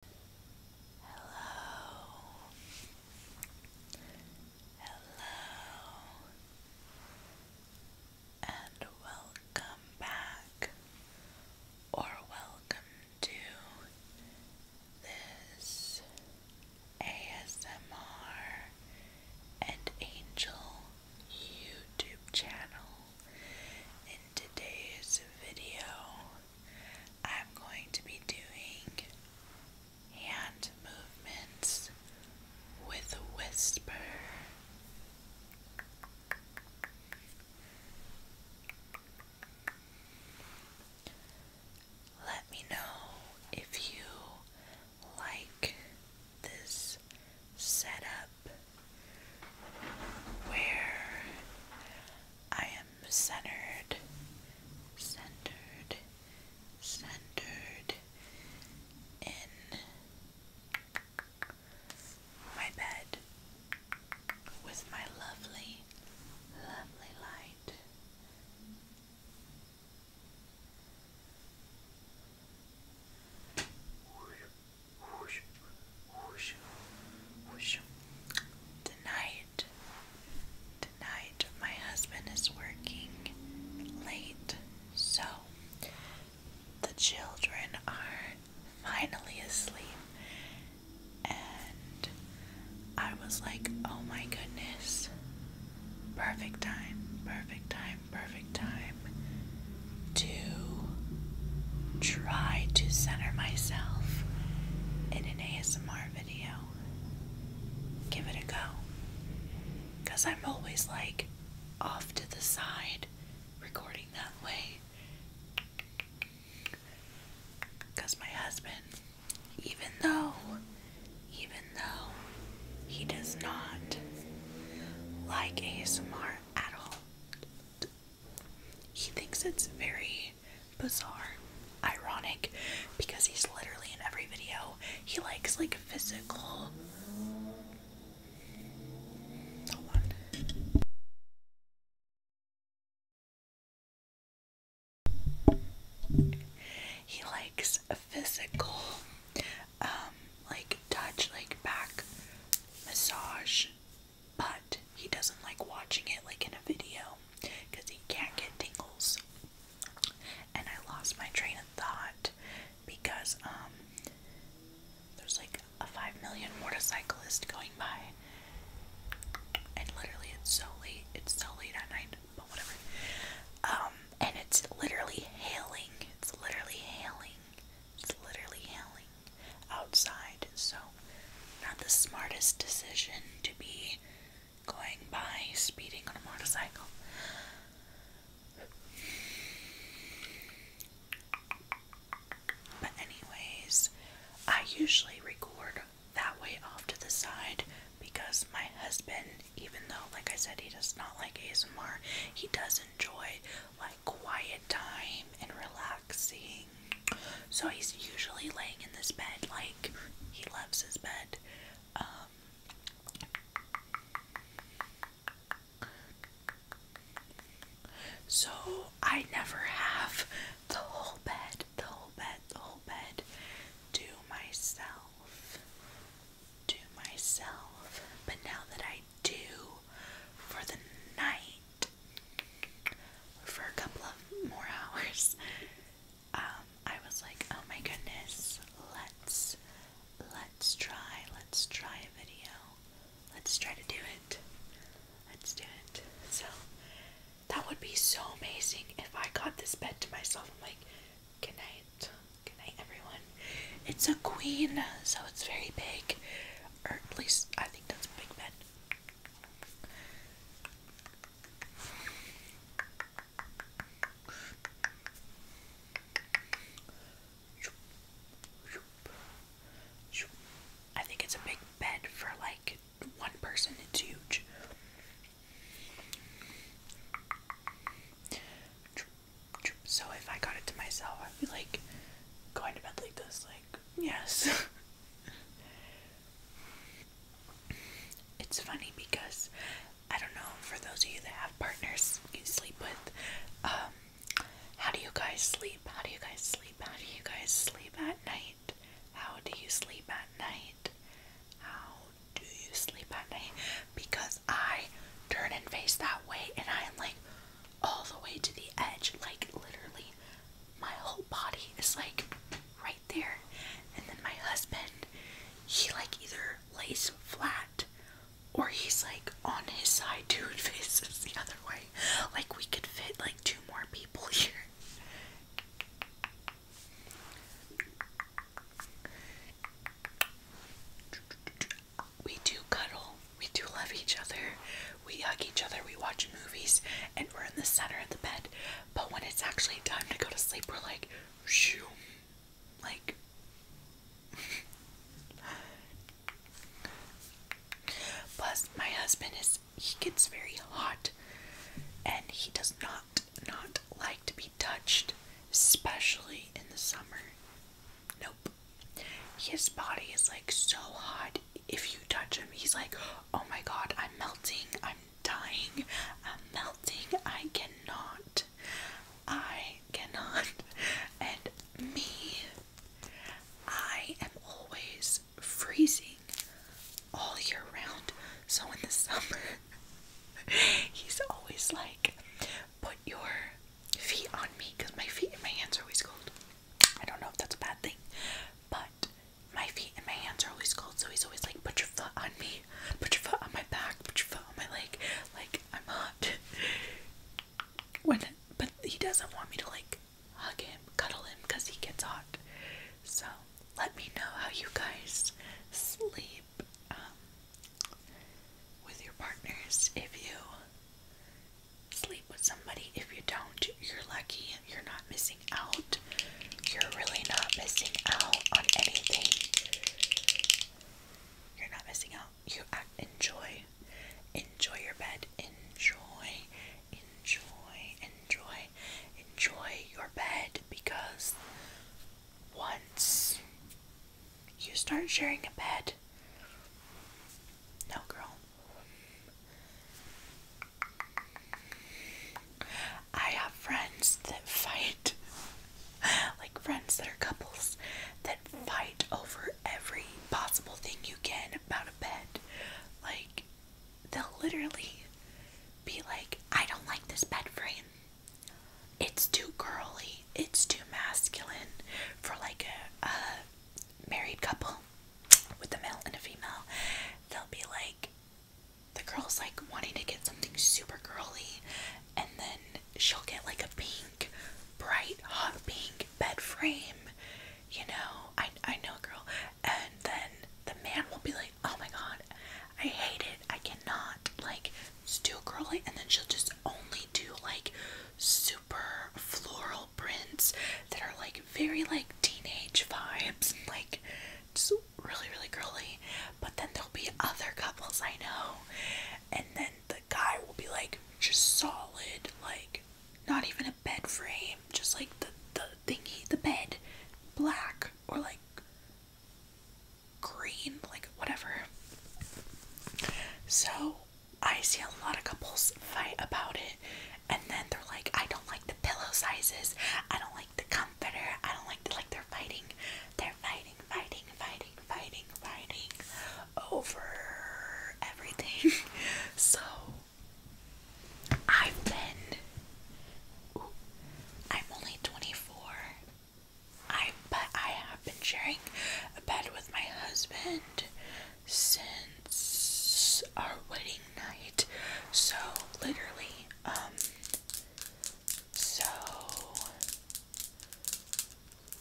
Hello. Hello. And welcome back or welcome to this ASMR and Angel YouTube channel. In today's video, I'm going to be doing hand movements with a whisper. Let me know if you like this setup where I am centered, centered, centered in my bed with my lovely, lovely light. Tonight, tonight, my husband is working late, so the children are finally asleep. And I was like, oh my goodness, perfect time, perfect time, perfect time to try to center myself in an ASMR video. Give it a go. Because I'm always like off to the side recording that way. Because my husband, even though, even though he does not like ASMR at all, he thinks it's very bizarre, ironic, because he's literally in every video. He likes like physical. He likes a physical, um, like touch, like back massage, but he doesn't like watching it like in a video because he can't get tingles. And I lost my train of thought because um, there's like a five million motorcyclist going by. And literally it's so late it's so late at night, but whatever. Um and it's literally hailing. It's literally hailing. It's literally hailing outside, so not the smartest decision to be going by speeding on a motorcycle. But, anyways, I usually record that way off to the side because my husband, even though, like I said, he does not like ASMR, he does enjoy, like, quiet time and relaxing. So he's usually laying in this bed, like he loves his bed. Um, so I never have the whole bed, the whole bed, the whole bed to myself. To myself. But now that I do, for the night for a couple of more hours. Um, I was like, oh my goodness, let's let's try, let's try a video. Let's try to do it. Let's do it. So that would be so amazing if I got this bed to myself. I'm like, good night, Good night, everyone. It's a queen, so it's very big. Or at least I think that's a big bed. I think it's a big bed for like one person, it's huge. So if I got it to myself, I'd be like going to bed like this, like, yes. it's funny because I don't know, for those of you that have partners you sleep with, um, how do you guys sleep? How do you guys sleep? How do you guys sleep at night? How do you sleep at night? How do you sleep at night? Because I turn and face that way and I am like all the way to the edge. Like literally my whole body is like right there. And then my husband, he like either lays flat or he's like on his side too faces the other way. Like we could fit like two more people here we do cuddle, we do love each other, we hug each other, we watch movies, and we're in the center of the bed. But when it's actually time to go to sleep, we're like, shoo, like. Plus, my husband is he gets very hot and he does not not like to be touched especially in the summer. Nope. His body is like so hot. If you touch him, he's like, oh my god, I'm melting, I'm dying, I'm melting, I cannot, I cannot. And me, I am always freezing all year round. So in the summer, he's always like, put your feet on me because my feet and my hands are always cold. I don't know if that's a bad thing, but my feet and my hands are always cold, so he's always like, put your foot on me, put your foot on my back, put your foot on my leg, like I'm hot. when but he doesn't want me to like hug him, cuddle him because he gets hot. So let me know how you guys sleep. Um, with your partners. If you sleep with somebody, if you don't, you're lucky. You're not missing out. You're really not missing out on anything. You're not missing out. You enjoy, enjoy your bed, enjoy, enjoy, enjoy, enjoy your bed because once you start sharing a bed. No, girl. I have friends that fight, like friends that are couples, that fight over every possible thing you can about a bed. Like, they'll literally be like, I don't like this bed frame it's too girly, it's too masculine for like a, married couple with a male and a female. They'll be like, the girl's like wanting to get something super girly, and then she'll get like a pink, bright, hot pink bed frame. You know, I, I know a girl, and then the man will be like, oh my god, I hate it. I cannot. Like, it's too curly, and then she'll just only do like super floral prints that are like very like teenage vibes, like just really, really girly. But then there'll be other couples I know, and then the guy will be like just solid, like not even a bed frame, just like the the thingy, the bed, black or like green, like whatever. So I see a lot of couples fight about it, and then they're like, I don't like the pillow sizes, I don't like the comforter, I don't like the like they're fighting, they're fighting, fighting, fighting, fighting, fighting over everything. so I've been I'm only 24. I but I have been sharing a bed with my husband since our wedding night. So literally, um, so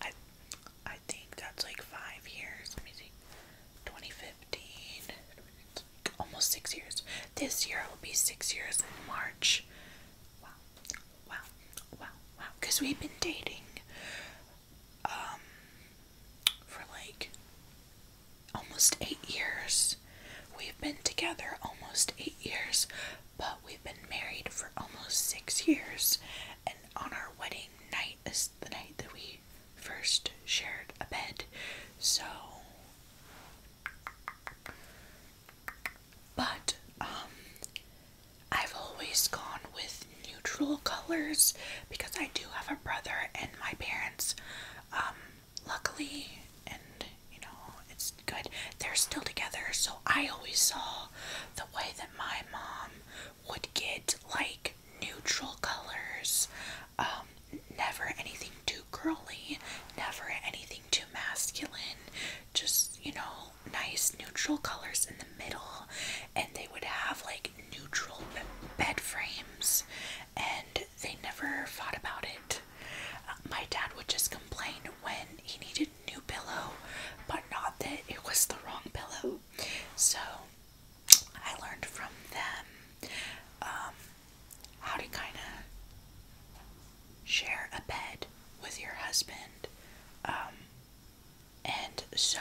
I I think that's like five years. Let me see. 2015, almost six years. This year will be six years in March. Wow, wow, wow, wow. Because we've been dating um, for like almost eight years. We've been together almost eight years, but we've been married for almost six years. And on our wedding night is the night that we first shared a bed. So but um, I've always gone with neutral colors because I do have a brother and my parents um, luckily and you know it's good they're still together so I always saw the way that my mom would get like neutral colors um, never anything too girly, never anything too masculine, just, you know, nice neutral colors in the middle. And they would have like neutral bed frames, and they never thought about it. Uh, my dad would just complain when he needed a new pillow, but not that it was the wrong pillow. So I learned from them. Um, how to kind of share a bed with your husband. Um, and so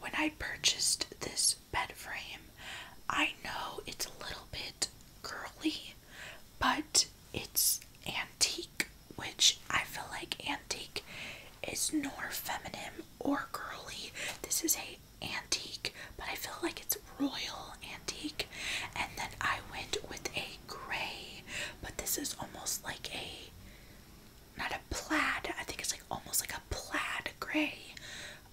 when I purchased this bed frame, I know it's a little bit curly, but it's antique, which I feel like antique is nor feminine or girly. This is a antique, but I feel like it's royal antique. And then I went with a gray, but this is almost like a not a plaid. I think it's like almost like a plaid gray.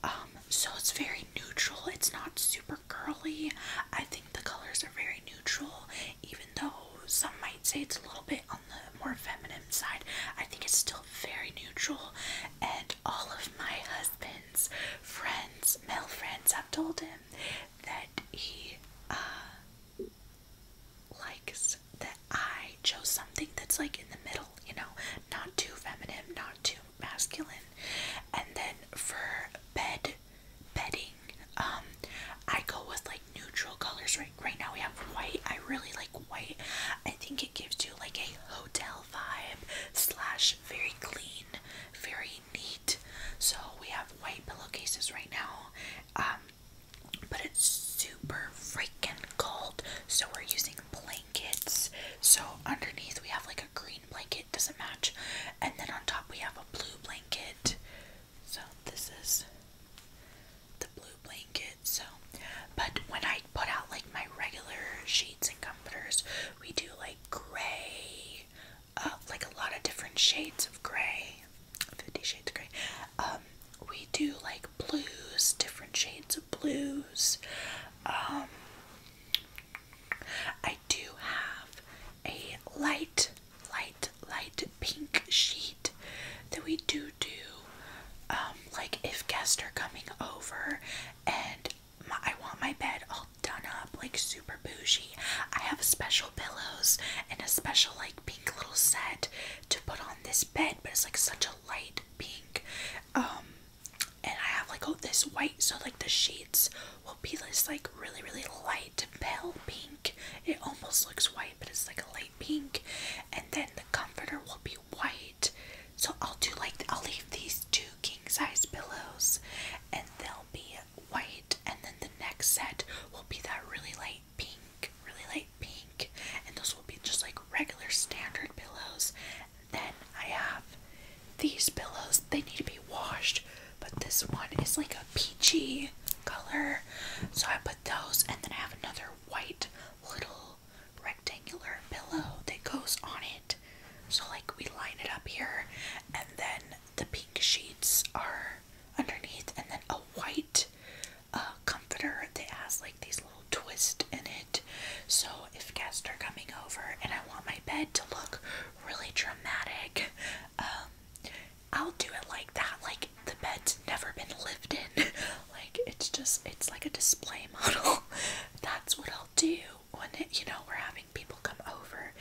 Um, so it's very neutral. It's not super girly. I think the colors are very neutral, even though some might say it's a little bit on the more feminine side. I think it's still very neutral, and all of my husband's friends, male friends, have told him that he uh, likes that I chose something that's like in the middle, you know, not too feminine, not too masculine. And then for bed bedding, um, I go with like neutral colors. Right, right now we have white. I really like white. I think it gives you like a hotel vibe slash very clean, very neat. So we have white pillowcases right now, um, but it's super freaking cold. So we're using blankets. So underneath we have like a green blanket, doesn't match, and then on top we have a blue blanket. So this is the blue blanket, so but when I put out like my regular sheets and comforters, we do like gray, uh, like a lot of different shades of gray, 50 shades of gray. Um, we do like blues, different shades of blues. Um, I do have a light, light, light pink sheet that we do do um, like if guests are coming over and I want my bed all done up, like super bougie, I have special pillows and a special like pink little set to put on this bed, but it's like such a light pink. Um, and I have like oh this white, so like the sheets will be this like really really light pale pink. It almost looks white, but it's like a light pink. And then the comforter will be white. So I'll do like I'll leave these two king size pillows and they'll be white and then the next set will be that really light pink, really light pink and those will be just like regular standard pillows. And then I have these pillows. They need to be washed, but this one is like a peachy color. So I put those and then I have another white little rectangular pillow that goes on it. So, like, we line it up here, and then the pink sheets are underneath, and then a white uh, comforter that has like these little twists in it. So, if guests are coming over and I want my bed to look really dramatic, um, I'll do it like that. Like, the bed's never been lived in. like it's just it's like a display model. That's what I'll do when it, you know we're having people come over.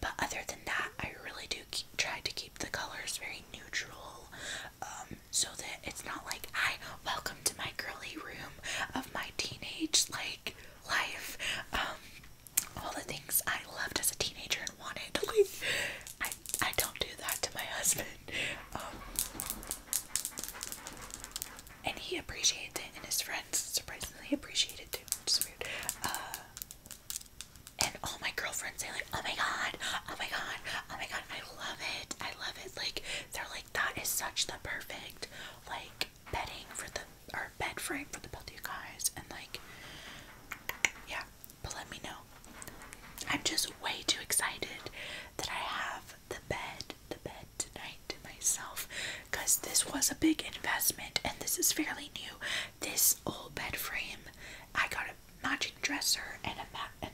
But other than that, I really do try to keep the colors very neutral, um, so that it's not like I welcome to my girly room of my teenage like life. Um, all the things I loved as a teenager and wanted. Like I I don't do that to my husband. Um, and he appreciates it, and his friends surprisingly appreciate it too, which weird. Uh, and all my girlfriends, they like, oh my god, oh my god, oh my god, I love it, I love it. Like, they're like, that is such the perfect, like, bedding for the, or bed frame for the both of you guys. And like, yeah, but let me know. I'm just way too excited that I have the bed, the bed tonight to myself because this was a big investment and this is fairly new. This old bed frame, I got a matching dresser and a mat and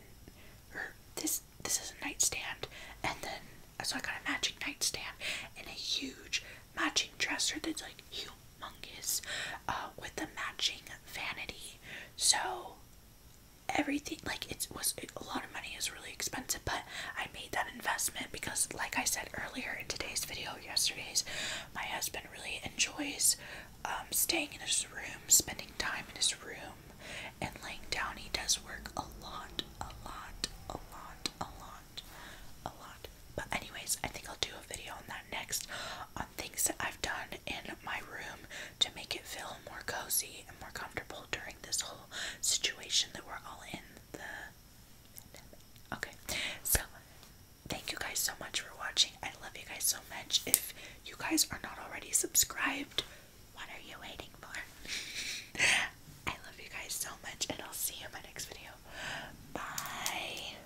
er, this this is a nightstand and then so I got a matching nightstand and a huge matching dresser that's like huge Monkeys, uh, with the matching vanity. So everything like it was a lot of money is really expensive, but I made that investment because, like I said earlier in today's video, yesterday's, my husband really enjoys um, staying in his room, spending time in his room, and laying down. He does work a lot, a lot, a lot, a lot, a lot. But anyways, I think I'll do a video on that next on things that I've done in my room to make it feel more cozy and more comfortable during this whole situation that we're all in the Okay, so thank you guys so much for watching. I love you guys so much. If you guys are not already subscribed, what are you waiting for? I love you guys so much, and I'll see you in my next video. Bye.